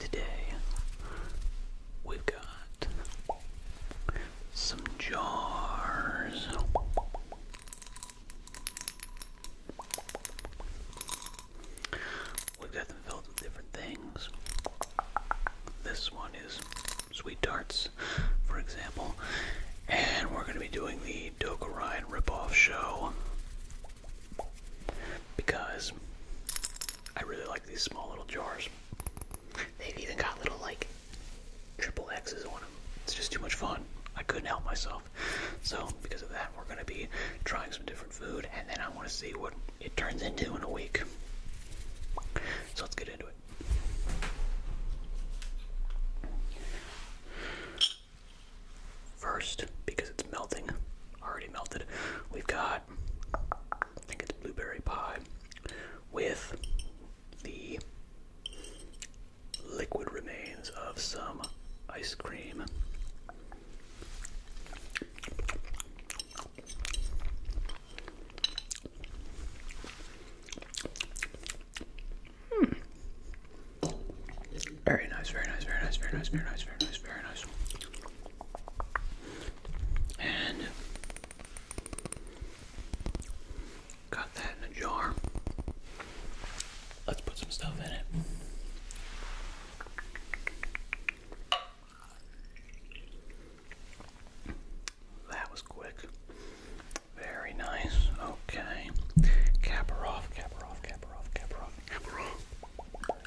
Today we've got some jars. We've got them filled with different things. This one is sweet tarts, for example. And we're going to be doing the Doka Ryan ripoff show because I really like these small little jars. They've even got little like triple X's on them. It's just too much fun. I couldn't help myself. So because of that, we're gonna be trying some different food, and then I want to see what it turns into in a week. So let's get into it. First, because it's melting, already melted. We've got, I think it's blueberry pie with the liquid remains of some ice cream. Hmm. Very nice, very nice, very nice, very nice, very nice, very nice, very nice. And got that in a jar. Let's put some stuff in it. That was quick. Very nice. Okay. Cap her off, cap her off, cap her off, cap her off, cap her off.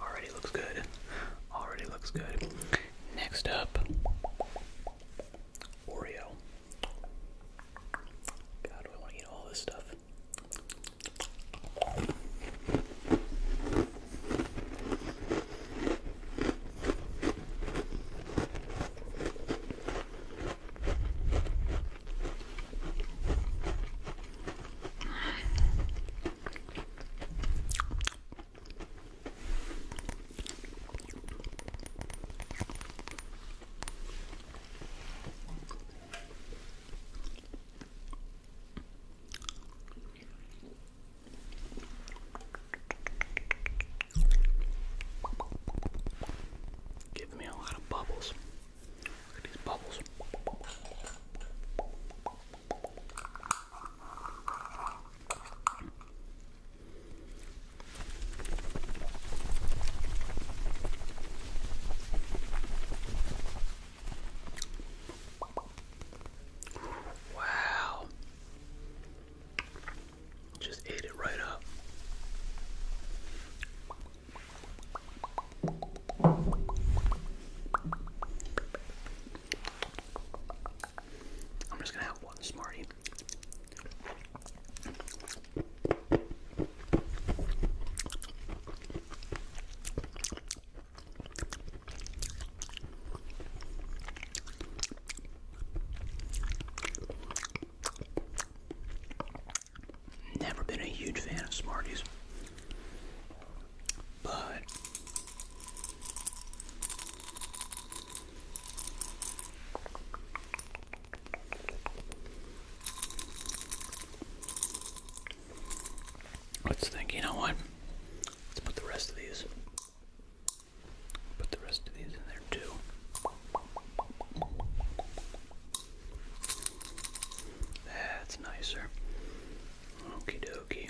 Already looks good. Already looks good. Next up, Oreo. God, do I want to eat all this stuff? Give me a lot of bubbles. Look at these bubbles. Wow. Just ate it right up. I'm just gonna have one Smartie. Never been a huge fan of Smarties let's think, you know what? Let's put the rest of these put the rest of these in there too. That's nicer. Okie dokie.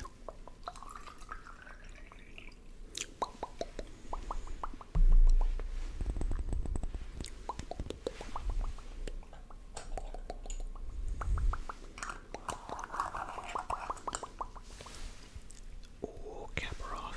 Oh, cap off.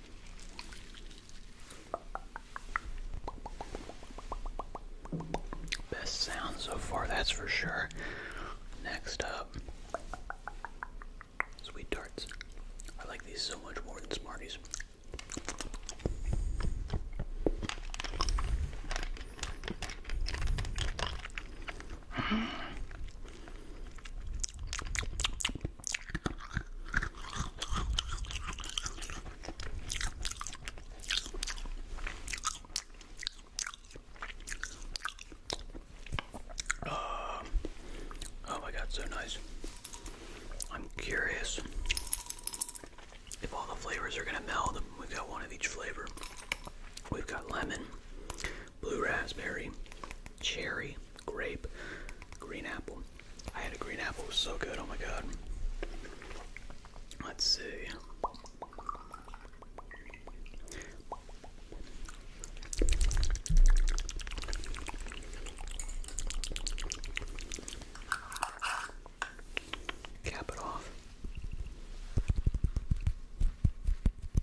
Best sound so far, that's for sure. Next up, sweet tarts. I like these so much more than Smarties. Uh, oh my god, so nice. I'm curious if all the flavors are gonna meld. We've got one of each flavor. We've got lemon, blue raspberry, cherry, grape, green apple. I had a green apple, so good, oh my god. Let's see. Cap it off.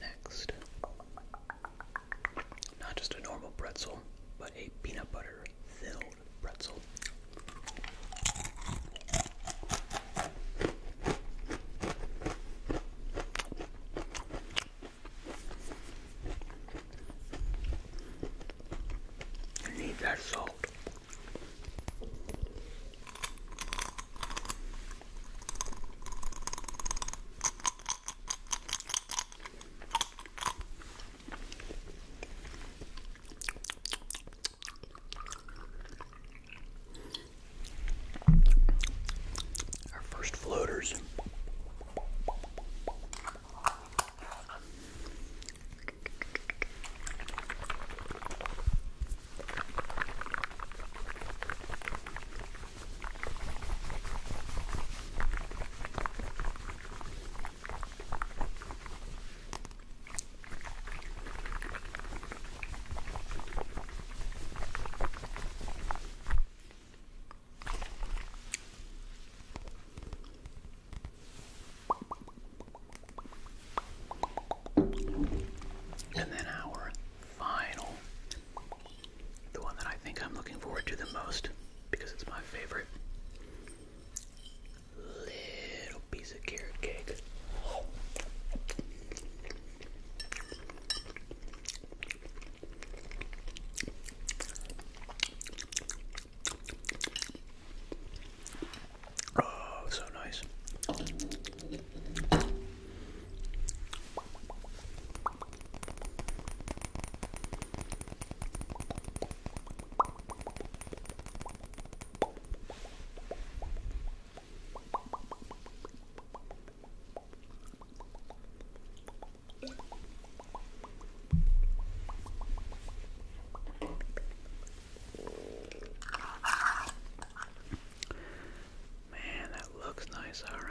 Next, not just a normal pretzel, but a peanut butter filled pretzel. I need that salt. Our first floaters. And then our final, the one that I think I'm looking forward to the most because it's my favorite little piece of carrot cake. Oh, so nice. Man, that looks nice, all right.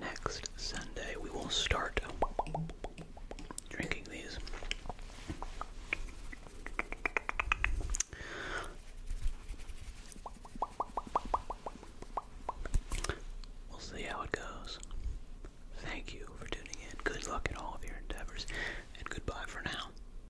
Next Sunday, we will start drinking these. We'll see how it goes. Thank you for tuning in. Good luck in all of your endeavors, and goodbye for now.